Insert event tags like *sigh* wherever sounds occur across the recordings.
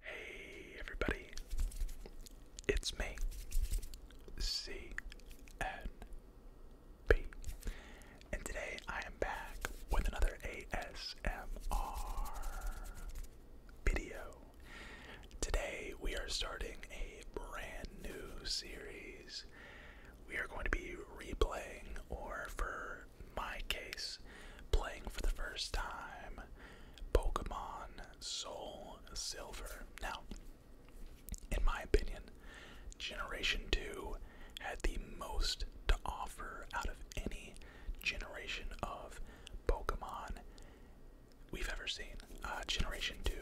Hey everybody, it's me, CNP, and today I am back with another ASMR video. Today we are starting a brand new series. We are going to be replaying, or for my case, playing for the first time Pokemon Soul Silver. Now, in my opinion, Generation 2 had the most to offer out of any generation of Pokemon we've ever seen. Uh, generation 2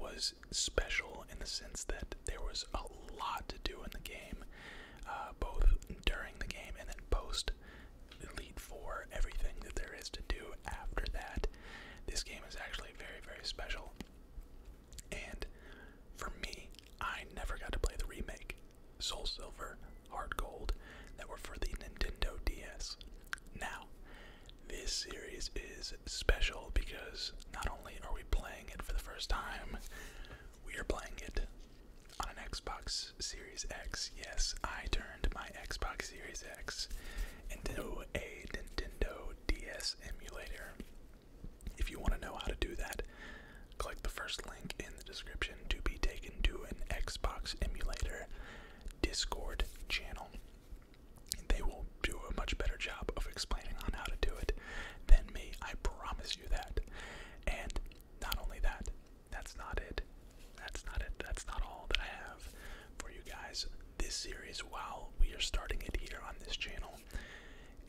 was special in the sense that there was a lot to do in the game, uh, both during the game and then post West Elite Four, everything that there is to do after that. This game is actually very, very special. And for me, I never got to play the remake. Soul Silver, Heart Gold, that were for the Nintendo DS. Now, this series is special because not only are we playing it for the first time, we are playing it on an Xbox Series X. Yes, I turned my Xbox Series X into a Nintendo DS emulator. If you want to know how to do that, click the first link in the description to be taken to an Xbox emulator Discord channel. They will do a much better job of explaining on how to do it than me. I promise you that. And not only that, that's not it. That's not it. That's not all that I have for you guys this series while we are starting it here on this channel.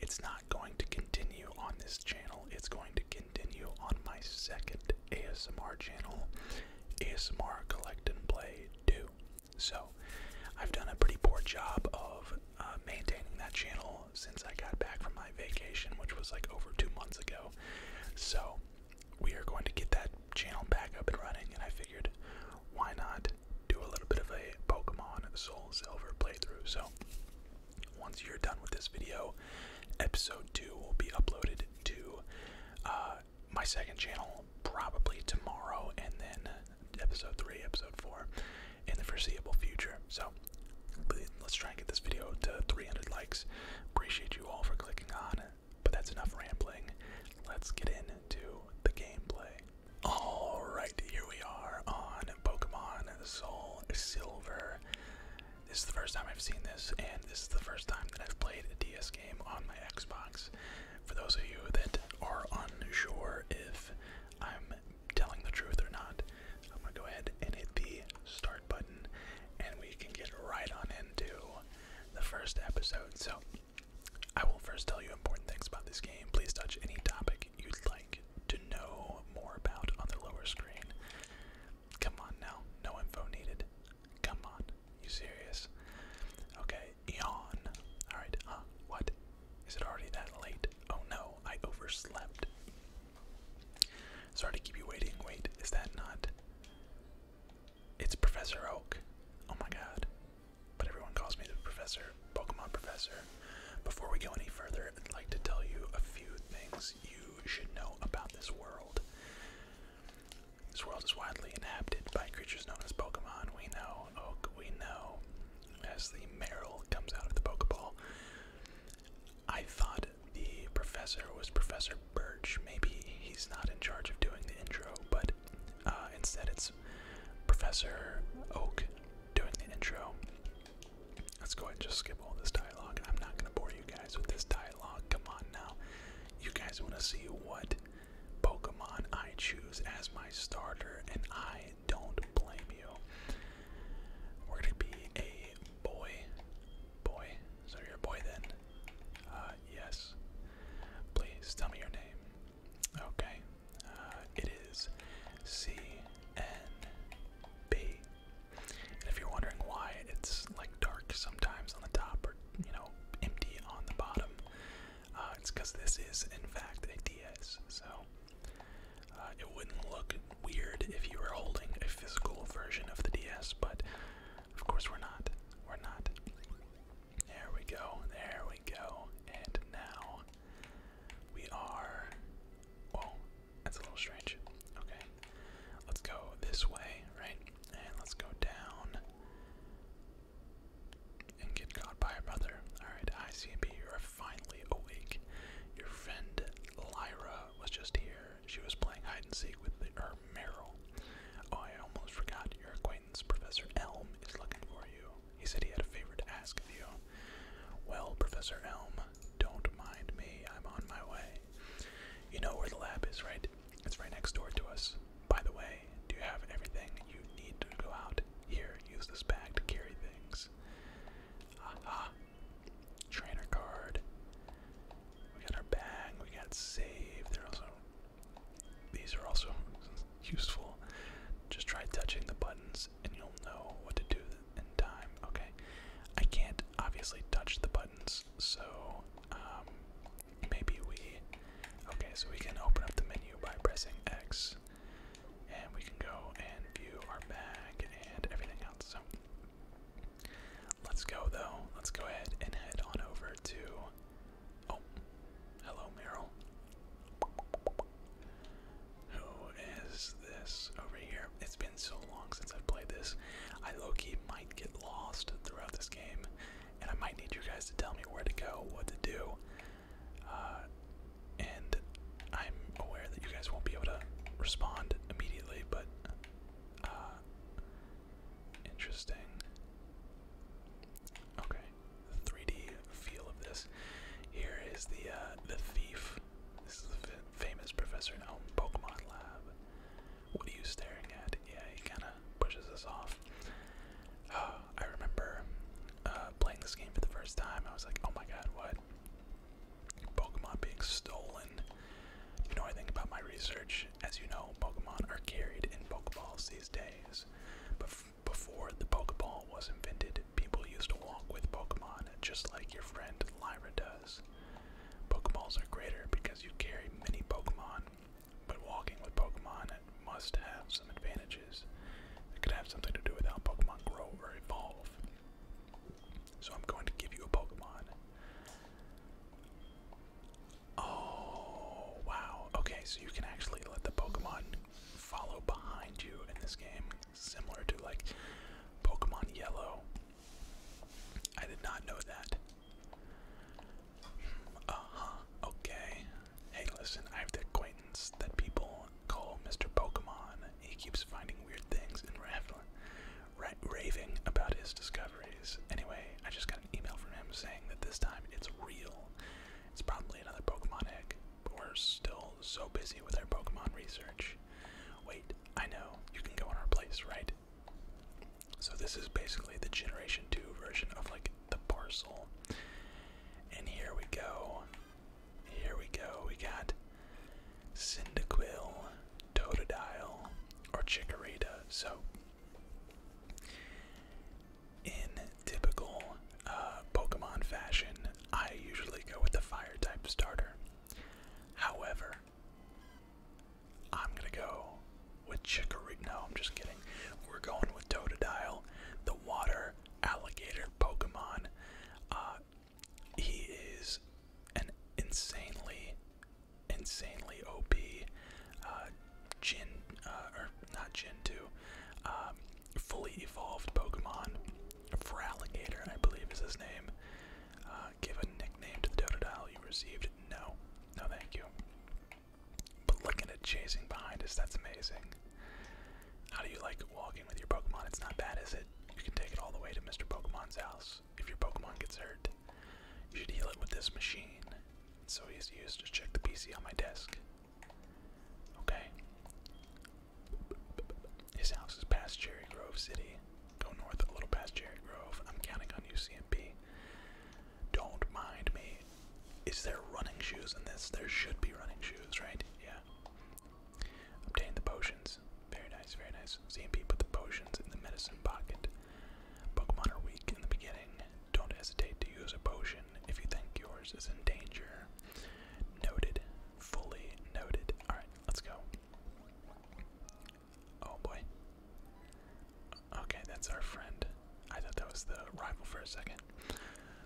It's not going to continue on this channel. It's going to continue on my second ASMR channel, ASMR Collect and Play 2. So, I've done a pretty poor job of uh, maintaining that channel since I got back from my vacation, which was like over two months ago. So we are going to get that channel back up and running, and I figured why not do a little bit of a Pokemon Soul Silver playthrough. So once you're done with this video, episode two will be uploaded to uh, my second channel probably tomorrow, and then episode three, episode four in the foreseeable future. So let's try and get this video to 300 likes. Appreciate you all for clicking on. But that's enough rambling. Let's get into the gameplay. Alright, here we are on Pokemon Soul Silver. This is the first time I've seen this, and this is the first time that I've played a DS game on my Xbox. For those of you that are unsure if I'm telling the truth or not, I'm gonna go ahead and hit the start button and we can get right on into the first episode. So, I will first tell you important things about this game. Please touch any topic you'd like to know more about on the lower screen. Come on now, no info needed. Come on, you serious? Okay, yawn. Alright, huh? What? Is it already that late? Oh no, I overslept. Sorry to keep you waiting. Wait, is that not? It's Professor Oak. Oh my god. But everyone calls me the Professor, Pokemon Professor. Before we go any further, I'd like to tell you a few things you should know about this world. This world is widely inhabited by creatures known as Pokemon. We know Oak, we know as the Meryl comes out of the Pokeball. I thought the professor was Professor Birch. Maybe he's not in charge of doing the intro, but uh, instead it's Professor Oak doing the intro. Let's go ahead and just skip all this dialogue. I'm not going to bore you guys with this dialogue. Come on now. You guys want to see what Pokemon I choose as my starter, and I don't blame you. We're going to be a Boy. Boy. So you're a boy then? Uh, yes. Please tell me your name. Okay. Uh, it is C-N-B. And if you're wondering why it's like dark sometimes on the top or, you know, empty on the bottom, uh, it's because this is, in fact, a DS. So, uh, it wouldn't look weird if you were holding a physical version of the DS, but of course we're not. We're not. There we go. There we go. And now we are. Whoa, that's a little strange. Okay, let's go this way, right? And let's go down and get caught by your mother. Alright, ICB, you are finally awake. Your friend Lyra was just here she was playing hide and seek with the, her Meryl. Oh, I almost forgot. Your acquaintance, Professor Elm, is looking for you. He said he had a favor to ask of you. Well, Professor Elm, don't mind me. I'm on my way. You know where the lab is, right? It's right next door to us. By the way, do you have everything you need to go out? Here, use this bag to carry things. Aha. Trainer card. We got our bang. We got save. They're also. These are also *laughs* useful. Just try touching the buttons and you'll know what to do in time. Okay. I can't obviously touch the buttons, so um, maybe we. Okay, so we can open up the menu by pressing X. And we can go and view our bag and everything else. So Let's go though. Let's go ahead and head on over to. Oh, hello, Meryl. Who is this over here? It's been so long since I've played this. I low might get lost throughout this game, and I might need you guys to tell me where to go, what to do. Uh, and I'm aware that you guys won't be able to respond immediately, but uh, interesting. Okay. 3D feel of this. Here is the uh, the thief. This is the famous Professor Elm Pokemon Lab. What are you staring at? Yeah, he kinda pushes us off. *sighs* I remember uh, playing this game for the first time. I was like, oh my god, what? Pokemon being stolen. You know anything about my research? As you know, Pokemon are carried in Pokeballs these days. But before the Pokeball was invented, people used to walk with Pokemon just like your friend Lyra does. Pokeballs are greater because you carry many Pokemon, but walking with Pokemon must have some advantages. It could have something to do with how Pokemon grow or evolve. So I'm going to give you a Pokemon. Oh, wow. Okay, so you can actually let the Pokemon follow behind you in this game, similar to like Pokemon Yellow. I did not know that. Hmm, uh huh. Okay. Hey, listen, I have the acquaintance that people call Mr. Pokemon he keeps finding weird things and raving about his discoveries. Anyway, I just got an email from him saying that this time it's real. It's probably another Pokemon egg, but we're still so busy with our Pokemon research. Wait, I know, you can go in our place, right? So this is basically the Generation 2 version of like the parcel. And here we go. Here we go. We got Cyndaquil, Totodile, or Chikorita. So, in typical uh, Pokemon fashion, I usually go with the Fire type starter. However, I'm gonna go with Chikorita. No, I'm just kidding. We're going with Totodile, the water alligator Pokemon. Uh, he is an insanely, insanely OP uh, Jin, uh, or not Jin 2, um, fully evolved Pokemon. Fralligator, I believe is his name. Uh, give a nickname to the Totodile you received. No, no thank you. But looking at chasing behind us, that's amazing. How do you like walking with your Pokemon? It's not bad, is it? You can take it all the way to Mr. Pokemon's house. If your Pokemon gets hurt, you should heal it with this machine. It's so easy to use. Just check the PC on my desk. Okay. His house is past Cherry Grove City. Go north a little past Cherry Grove. I'm counting on you, CMP. Don't mind me. Is there running shoes in this? There should be running shoes, right? Yeah. Obtain the potions. Very nice, very nice. ZMP put the potions in the medicine pocket. Pokemon are weak in the beginning. Don't hesitate to use a potion if you think yours is in danger. Noted. Fully noted. Alright, let's go. Oh boy. Okay, that's our friend. I thought that was the rival for a second.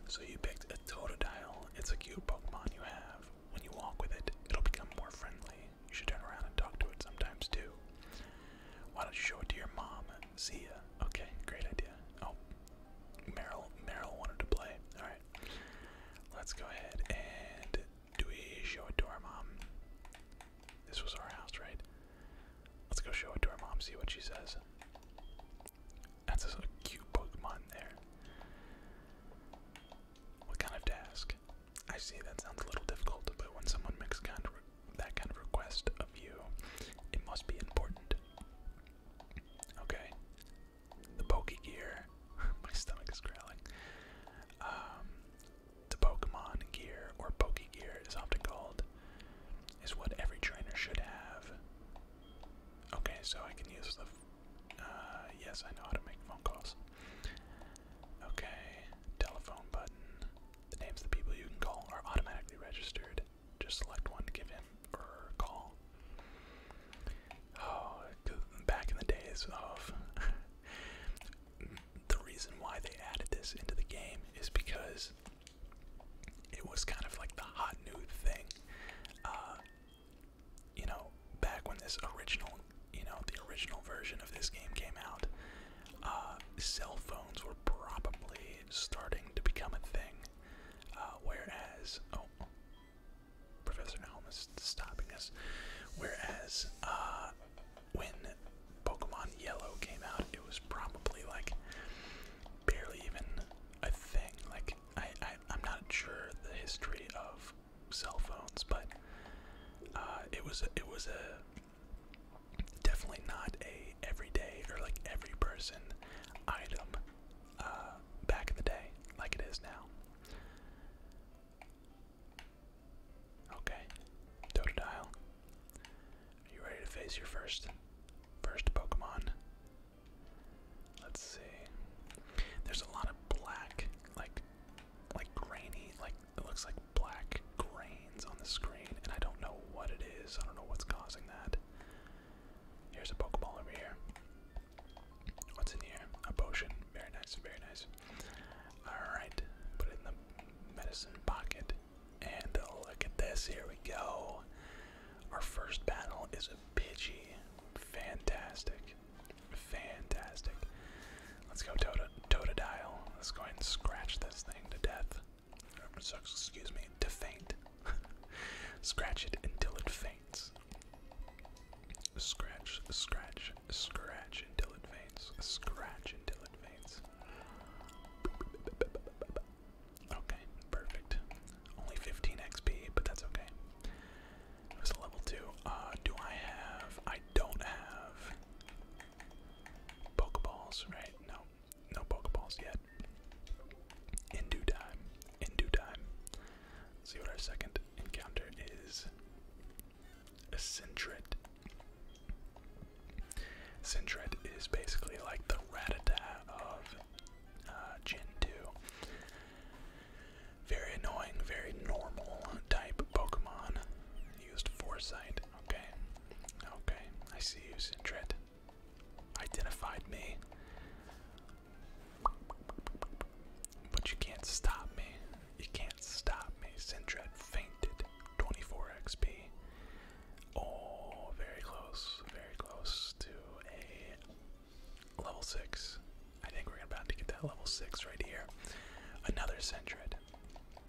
So you picked a Totodile. It's a cute Pokemon you have. When you walk with it, it'll become more friendly. You should turn around and talk to it sometimes too. Why don't you show it to your mom? See ya. Okay, great idea. Oh, Meryl, Meryl wanted to play. All right, let's go ahead and do we show it to our mom? This was our house, right? Let's go show it to our mom. See what she says. That's a cute Pokemon there. What kind of task? I see that sounds a little difficult, but when someone makes kind of that kind of request of you, it must be important. Okay. The Poke Gear. *laughs* My stomach is growling. Um, the Pokemon Gear, or Poke Gear is often called, is what every trainer should have. Okay, so I can use the uh, yes, I know how to make phone calls. Okay, telephone button. The names of the people you can call are automatically registered. Just select one to give him or call. Oh, back in the days of. *laughs* the reason why they added this into the game is because it was kind of like the hot new thing. Uh, you know, back when this original, you know, the original version of this game came out, uh, cell phones were probably starting to become a thing. Uh, whereas, oh, Professor Helm is stopping us. Whereas, uh, when Pokemon Yellow came out, it was probably like barely even a thing. Like, I, I'm not sure the history of cell phones, but uh, it was it was a definitely not a everyday or like every person item uh, back in the day like it is now. Okay, Totodile. Are you ready to face your first first Pokemon? Let's see. There's a lot of black, like, like grainy, like it looks like black grains on the screen, and I don't know what it is. I don't know what's causing that. Here's a Pokeball over here. What's in here? A potion. Very nice, very nice. Alright, put it in the medicine pocket. And look at this, here we go. Our first battle is a Pidgey. Fantastic. Fantastic. Let's go Tota Dial. Let's go ahead and scratch this thing to death. excuse me, to faint. *laughs* scratch it until it faints. Scratch, scratch, scratch until it faints. Scratch until it faints. Okay, perfect. Only 15 XP, but that's okay. It was a level 2. Uh, do I have. I don't have. Pokeballs, right? No. No Pokeballs yet. In due time. In due time. Let's see what our second encounter is. A Sintret. Sintret is basically like the Ratata of uh, Very annoying, very normal type Pokemon. Used Foresight. Okay. Okay. I see you, Sintret. Identified me. But you can't stop me. You can't stop me. Sintret fainted. 24 XP. Oh, very close. Very close to a Level 6. I think we're about to get that level 6 right here. Another centered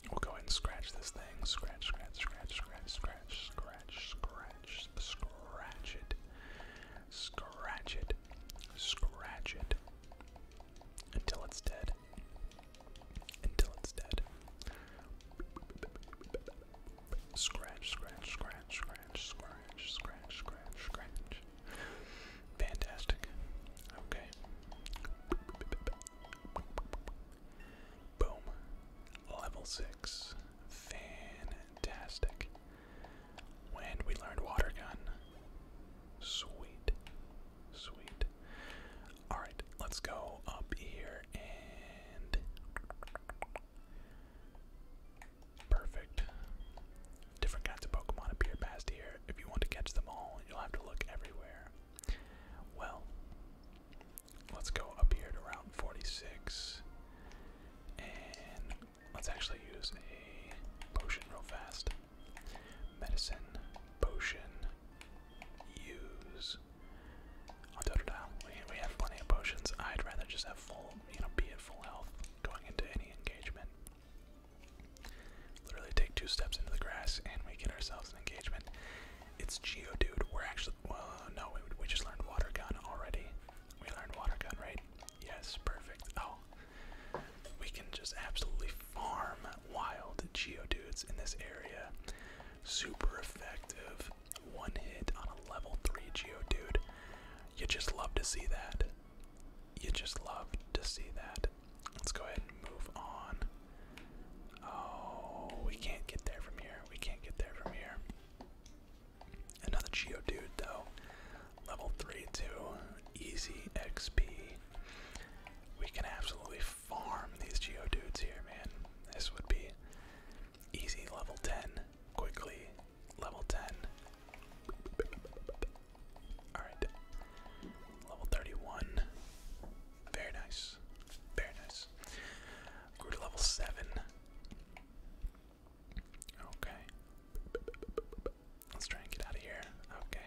We'll go ahead and scratch this thing. Scratch, scratch, scratch, scratch, scratch, scratch, scratch, scratch it. Scratch it. Scratch it. Until it's dead. Until it's dead. Scratch, scratch, scratch, scratch, scratch. Scratch, scratch, scratch, scratch. Fantastic. Okay. Boom. Level 6. Fantastic. When we learned water gun. Sweet. Sweet. Alright, let's go up here and Perfect. Different kinds of Pokemon appear past here. If you want to catch them all, you'll have to look everywhere. Well, let's go up here to round 46. And let's actually use a potion real fast. Medicine, potion, use. On Totodile, we, we have plenty of potions. I'd rather just have full you know, be at full health going into any engagement. Literally take two steps into the grass and we get ourselves an engagement. It's Geodude. We're actually, well, uh, no, we, just learned Water Gun already. We learned Water Gun, right? Yes, perfect. Oh, we can just absolutely farm wild Geodudes in this area. Super effective. One hit on a level 3 Geodude. You just love to see that. You just love to see that. Let's go ahead and move on. Oh, we can't get there from here. We can't get there from here. Another Geo dude though. Level 3 2. Easy XP. We can absolutely farm these Geo dudes here, man. This would be easy level 10 quickly Level 10. Alright. Level 31. Very nice. Very nice. Grew to level 7. Okay. Let's try and get out of here. Okay.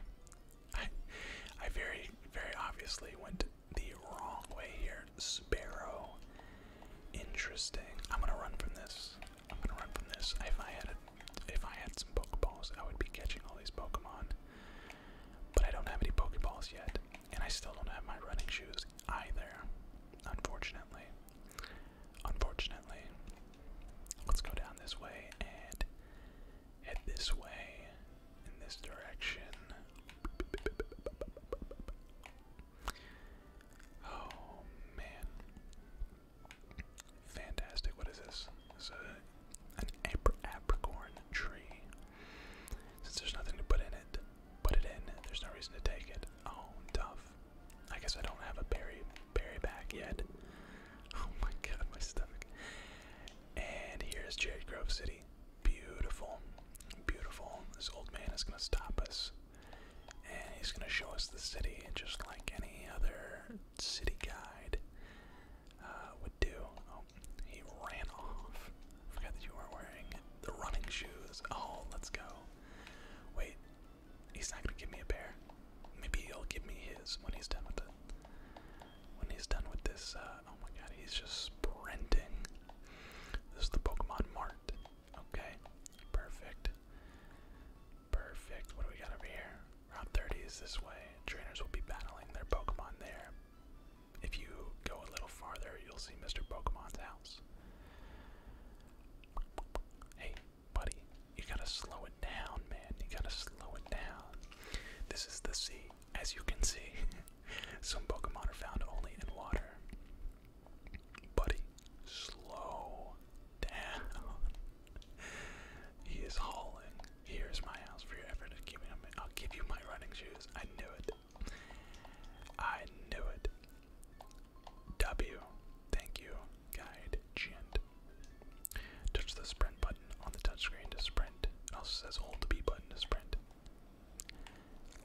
I, I very, very obviously went the wrong way here. Sparrow. Interesting. I'm gonna run from this. I'm gonna run from this. If I had if I had some Pokeballs, I would be catching all these Pokemon. But I don't have any Pokeballs yet, and I still don't have my running shoes either. Unfortunately. Unfortunately. Let's go down this way and head this way in this direction. Oh man. Fantastic. What is this? is a, an apr apricorn tree. Since there's nothing to put in it, put it in. There's no reason to take it. Oh, tough. I guess I don't have a berry berry back yet. Oh my god, my stomach. And here's Cherry Grove City. Beautiful. Beautiful. This old man is gonna stop us and he's going to show us the city just like any other city guide uh, would do. Oh, he ran off. forgot that you were wearing the running shoes. Oh, let's go. Wait, he's not going to give me a bear. Maybe he'll give me his when he's done with it. When he's done with this, uh, oh my god, he's just sprinting. This is the Pokemon Mart. Okay, perfect. Perfect. What do we got over here? Round 30 is this way. Trainers will be battling their Pokemon there. If you go a little farther, you'll see Mr. Pokemon's house. Hey, buddy, you gotta slow it down, man. You gotta slow it down. This is the sea, as you can see. *laughs* Some Pokemon are found only in water. Buddy, slow down. he is hauling. Here's my house for your effort at me. I'll give you my running shoes. I knew it. I knew it. W. Thank you, guide gent. Touch the sprint button on the touchscreen to sprint. also says hold the B button to sprint.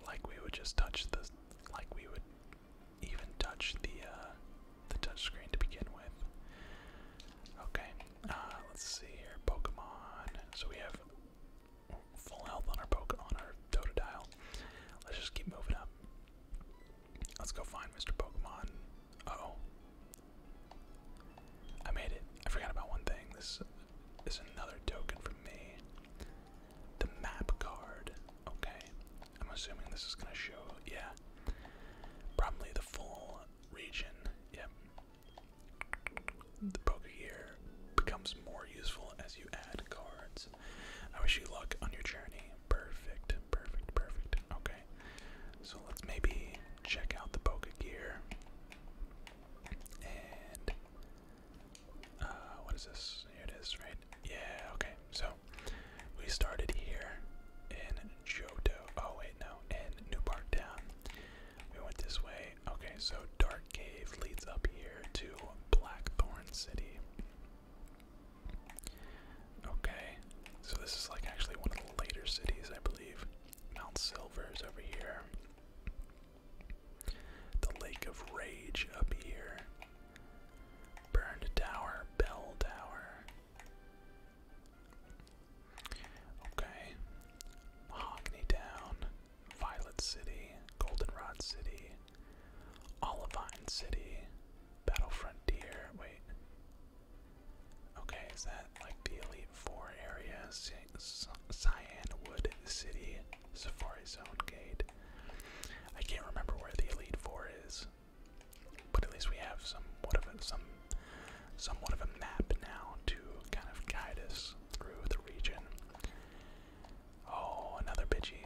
Like we would just touch the like we would even touch the uh, the touch to begin with. Okay, uh, let's see here. Pokemon. So we have full health on our poke our Totodile. Let's just keep moving up. Let's go find Mr. Pokemon. oh. I made it. I forgot about one thing. This is another token for me the map card. Okay, I'm assuming this is gonna show, yeah, probably the full region. Yep. The poker gear becomes more useful as you add cards. I wish you luck on your journey. Perfect, perfect, perfect. Okay, so let's maybe check out the poker gear. And uh, what is this? Here it is, right? Yeah, okay. So we started here in Johto. Oh, wait, no, in New Park Town. We went this way. Okay, so Dark Cave leads up here to Blackthorn City. Okay, so this is like actually one of the later cities, I believe. Mount Silver is over here. The Lake of Rage up here. Burned Tower, Bell Tower. Okay. Mahogany Town, Violet City, Goldenrod City, Olivine City, Battle Frontier. Wait. Okay, is that like the Elite Four area? Cyanwood City, Safari Zone Gate. I can't remember where the Elite Four is, but at least we have somewhat of a, some somewhat of a map now to kind of guide us through the region. Oh, another Pidgey.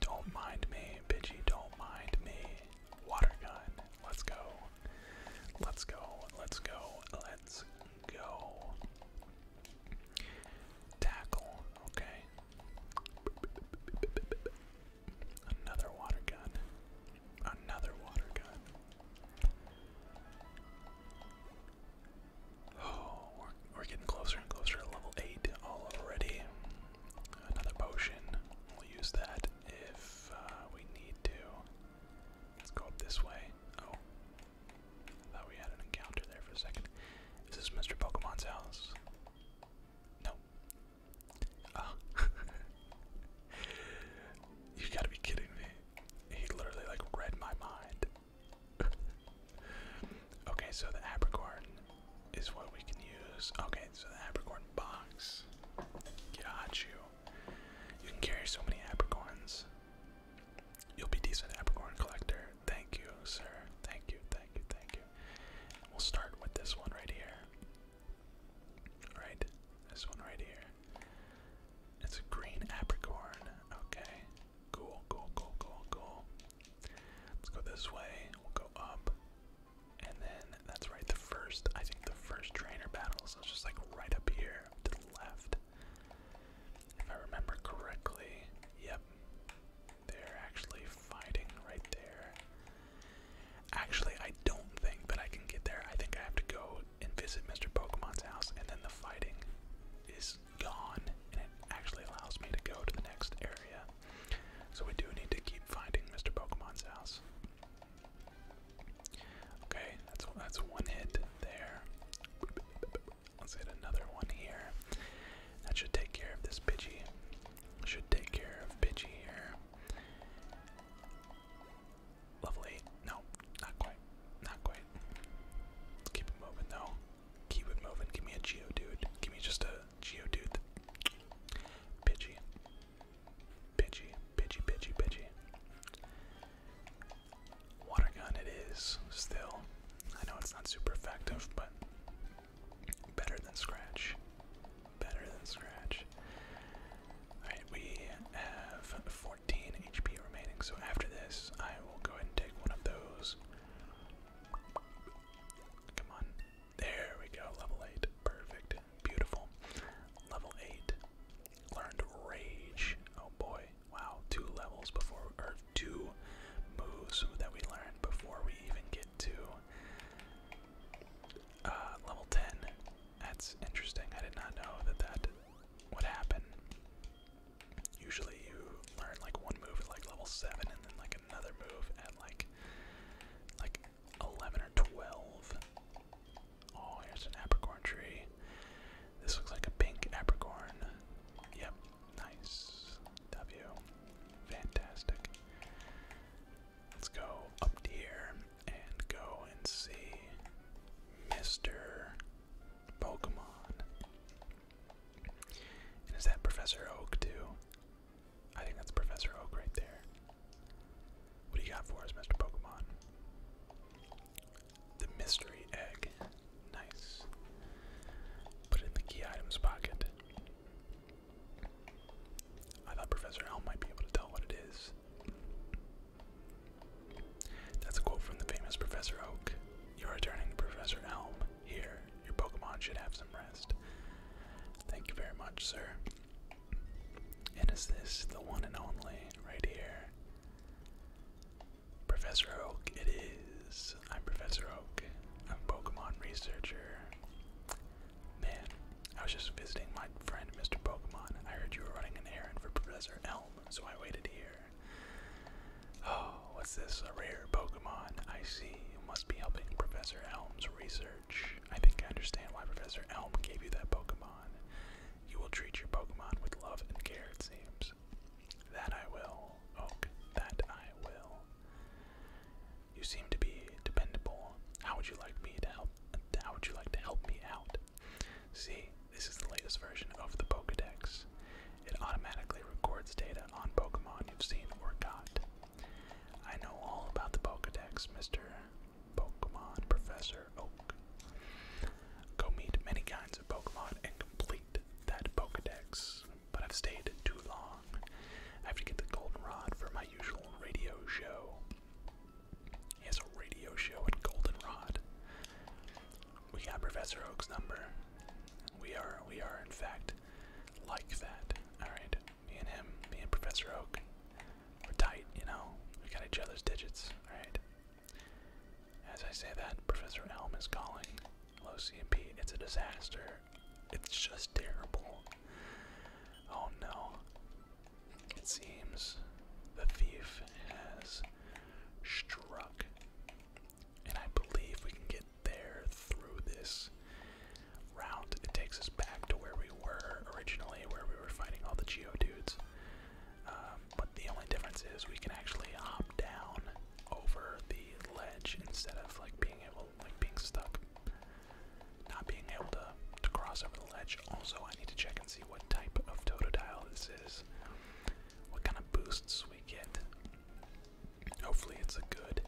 Don't mind me, Pidgey, don't mind me. Water gun. Let's go. Let's go. Let's go. Let's go. Tackle. Okay. Another water gun. Another water gun. Oh, we're, getting closer and closer to level 8 all already. Another potion. We'll use that if uh, we need to. Let's go up this way. Oh, I thought we had an encounter there for a second. Is this Mr. Pokemon's house? No. Oh. *laughs* you gotta be kidding me. He literally like read my mind. *laughs* okay, so the apricorn is what we can use. Okay, so the apricorn box. Got you. You can carry so many apricorns. You'll be decent, Apricorn Collector. Thank you, sir. Thank you, thank you, thank you. We'll start with this one right here. Right? This one right here. It's a green Apricorn. Okay. Cool, cool, cool, cool, cool. Let's go this way. We'll go up. And then that's right, the first, I think the first trainer battle, is just like right up here to the left. If I remember correctly, yep. They're actually fighting right there. Actually, I don't think that I can get there. I think I have to go and visit Mr. Pokemon's house, and then the fighting is gone, and it actually allows me to go to the next area. So we do need to keep finding Mr. Pokemon's house. Okay, that's that's one hit there. Let's get another one here. That should take care of this Pidgey. Should take care of Pidgey here. Lovely. No, not quite. Not quite. keep it moving though. Keep it moving. Give me a Geo, dude. Give me just a Geodude. Pidgey. Pidgey. Pidgey, Pidgey, Pidgey. Water gun it is, still. I know it's not super effective, but better than scratch. Better than scratch. Alright, we have 14 HP remaining, so after this, I will go ahead and take one of those. Come on. There we go, level 8. Perfect. Beautiful. Level 8. Learned Rage. Oh boy. Wow, two levels before, or two moves that we learned before we even get to uh, level 10. That's interesting. I did not know that that would happen. Usually you learn like one move at like level 7 and then like another move at like like 11 or 12. Oh, here's an apricorn tree. This looks like a pink apricorn. Yep, Nice. W. Fantastic. Let's go up here and go and see Mr. Pokemon. And is that Professor Oak too? I think that's Professor Oak right there. What do you got for us, Mr. Pokemon? The mystery egg. Nice. Put in the key items pocket. I thought Professor Elm might be able to tell what it is. That's a quote from the famous Professor Oak. You're returning to Professor Elm. Here, your Pokemon should have some rest. Thank you very much, sir. And is this the one and only right here? Professor Oak, it is. I'm Professor Oak. I'm a Pokemon researcher. Man, I was just visiting my friend Mr. Pokemon. I heard you were running an errand for Professor Elm, so I waited here. Oh, what's this? A rare Pokemon. I see. You must be helping Professor Elm's research. I think I understand why Professor Elm gave you that Pokemon. You will treat your Pokemon with love and care, it seems. That I will, Oak. Oh, that I will. You seem to be dependable. How would you like me to help? How would you like to help me out? See, this is the latest version of the Pokedex. It automatically records data on Pokemon you've seen or caught. I know all about the Pokedex, Mr. Pokemon Professor Oak. Go meet many kinds of Pokemon and complete that Pokedex, but I've stayed too long. I have to get the Goldenrod for my usual radio show. He a radio show at Goldenrod. We got Professor Oak's number. We are, we are in fact, like that. Alright, me and him, me and Professor Oak, we're tight, you know? We got each other's digits, alright? As I say that, Professor Elm is calling. Low CMP, it's a disaster. It's just terrible. Oh no. It seems the thief has struck. And I believe we can get there through this route. It takes us back to where we were originally, where we were fighting all the Geo dudes. Um, but the only difference is we can actually hop down over the ledge instead of like being able like being stuck. Not being able to to cross over the ledge. Also I need to check and see what type of totodile this is. What kind of boosts we get. Hopefully it's a good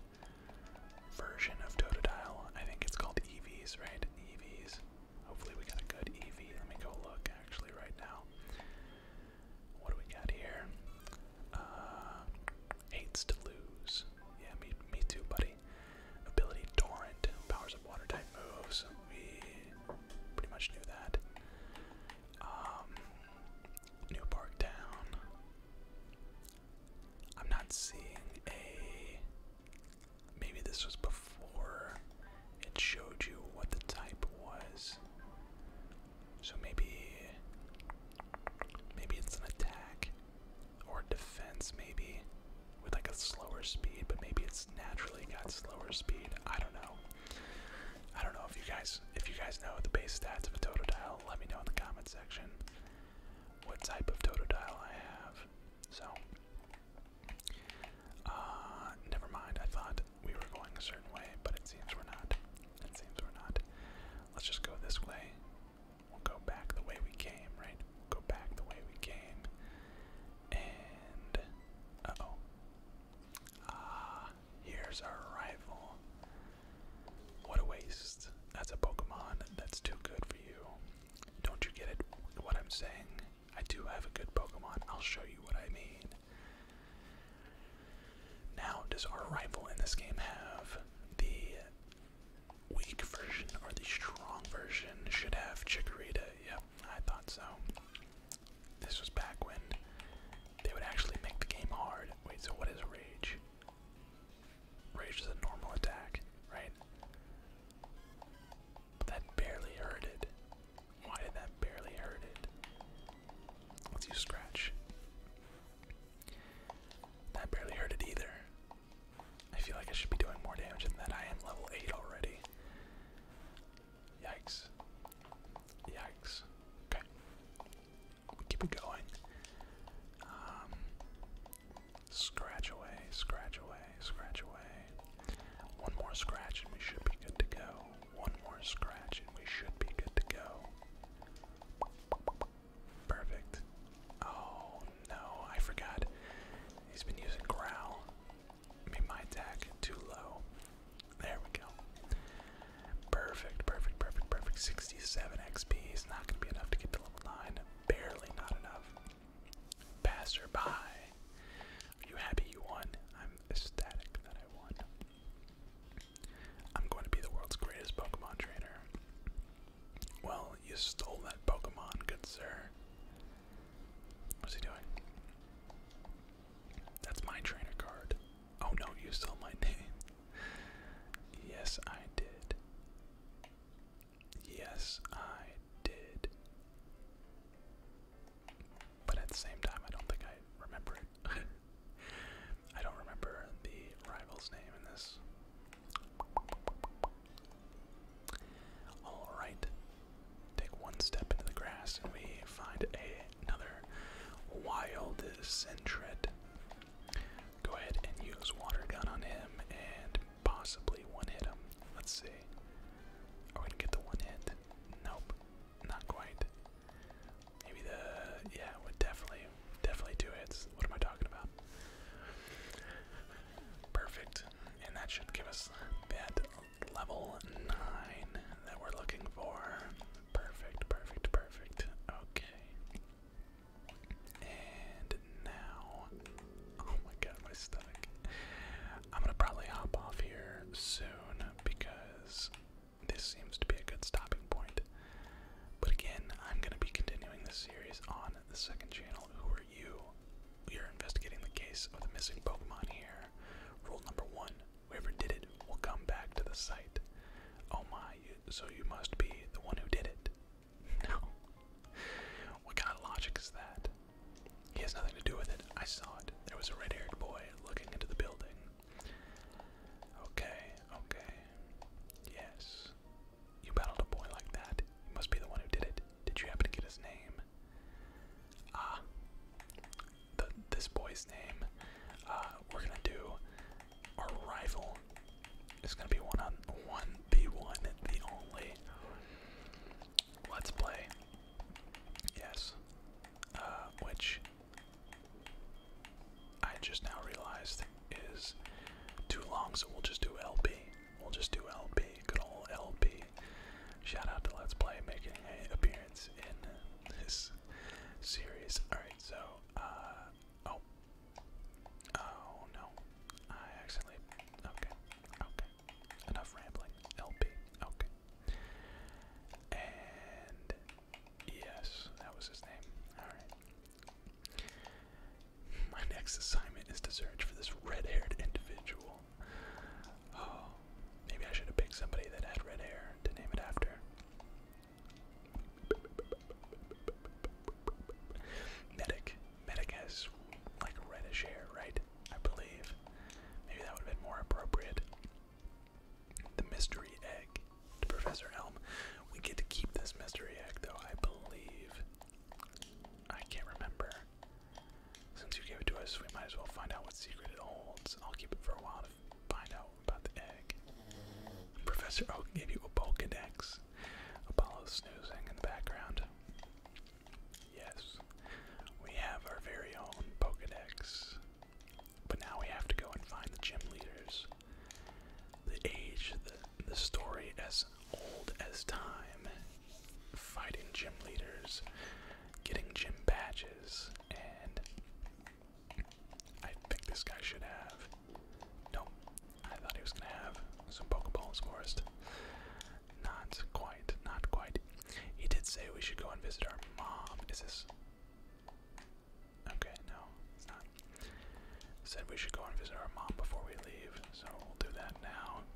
version of Totodile. I think it's called EVs, right? EVs. Hopefully we got a good EV. Let me go look actually right now. What do we got here? Uh, to lose. Yeah, me, too, buddy. Ability Torrent powers up water type moves. We pretty much knew that. Um, Town. I'm not seeing a. Maybe this was before it showed you what the type was. So maybe maybe it's an attack or defense maybe with like a slower speed, but maybe it's naturally got slower speed. I don't know. I don't know if you guys if you guys know the base stats of a Totodile, let me know in the comment section what type of Totodile I have. So uh never mind, I thought we were going a certain way, but it seems we're not. It seems we're not. Let's just go this way. We'll go back the way we came, right? go back the way we came. And. oh. Ah, here's our rival. What a waste. That's a Pokemon that's too good for you. Don't you get it? What I'm saying? I do have a good Pokemon. I'll show you what I mean. Now, does our rival in this game have the weak version or the strong version? Should have Chikorita. Yep, I thought so. This was back when they would actually make the game hard. Wait, so what is Rage? Rage is a normal attack, right? that barely hurt why did that barely hurt it? Let's use scratch. That barely hurt it either. I feel like I should be doing more damage than that. I am level 8 already. Yikes. Yikes. Okay. We keep it going. Um, scratch away, scratch away, scratch away. One more scratch and we should be good to go. One more scratch and we should be good to go. Perfect. Oh no, I forgot. He's been using growl. Made my attack too low. There we go. Perfect, perfect, perfect, perfect. 67 XP is not gonna be enough to get to level 9. Barely not enough. Passerby. you happy you won? I'm ecstatic that I'm going to be the world's greatest Pokemon trainer. Well, you stole that Pokemon, good sir. What's he doing? That's my trainer card. Oh no, you stole my *laughs* name. Yes, I did. Yes, I did but at the same time, I don't think I remember it. *laughs* I don't remember the rival's name in this. Alright, take one step into the grass and we find another wild Sentret. Go ahead and use Water Gun on him and possibly one hit him. Let's see. Are gonna get the one hit? Nope. Not quite. Maybe the yeah would definitely definitely two hits. What am I talking about? Perfect, and that should give us that level nine that we're looking for. Perfect, perfect, perfect. Okay. And now, oh my god, my stomach. I'm gonna probably hop off here soon because this seems to be a good stopping point. But again, I'm going to be continuing this series on the second channel, Who Are You? We are investigating the case of the missing Pokemon here. Rule number one whoever did it will come back to the site. Oh my, so you must be the one who did it. *laughs* No. What kind of logic is that? He has nothing to do with it. I saw it. There was a red haired boy looking into the building. Okay, okay. Yes. You battled a boy like that. You must be the one who did it. Did you happen to get his name? Ah. this boy's name. Uh, we're gonna do our rival. It's gonna be one on one, the one, the only. Let's play Yes. Uh, which I just now realized is too long, so we'll just do LB. We'll just do LB. Good old LB. Shout out to Let's Play making an appearance in this series. Alright, so, uh, oh. Oh no. I accidentally. Okay. Okay. Enough rambling. LB. Okay. And yes, that was his name. My next assignment is to search for this red haired individual. Oh, maybe I should have picked somebody that had red hair to name it after. Medic. Medic has like reddish hair, right? I believe. Maybe that would have been more appropriate the mystery egg to Professor Elm. We get to keep this mystery egg, though, I believe. I can't remember. Since you gave it to us, we might as well find out what secret it holds. I'll keep it for a while to find out about the egg. Professor Oak gave you a Pokedex. Apollo snoozing in the background. Yes, we have our very own Pokedex. But now we have to go and find the gym leaders. The age, the, the story as old as time, fighting gym leaders, getting gym badges, and I think this guy should have. Nope, I thought he was gonna have some Pokeballs for us. Not quite, not quite. He did say we should go and visit our mom. Is this. Okay, no, it's not. Said we should go and visit our mom before we leave, so we'll do that now.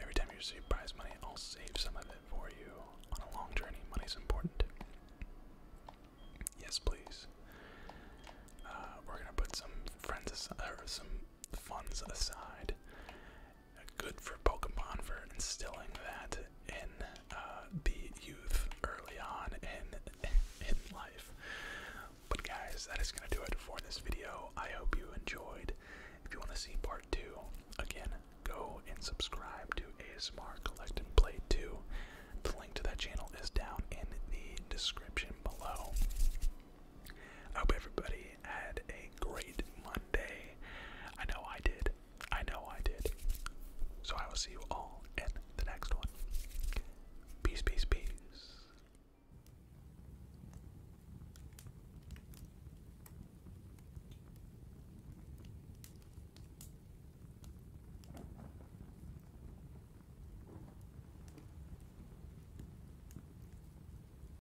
Every time you receive prize money, I'll save some of it for you. On a long journey, money's important. Yes, please. Uh, we're gonna put some funds aside, good for Pokemon for instilling that in uh, the youth early on in in life. But guys, that is gonna do it for this video. I hope you enjoyed. If you want to see part two, again, go and subscribe to ASMR Collect and Play 2. The link to that channel is down in the description below. I hope everybody had a great Monday. I know I did. I know I did. So I will see you all in the next one. Peace, peace, peace.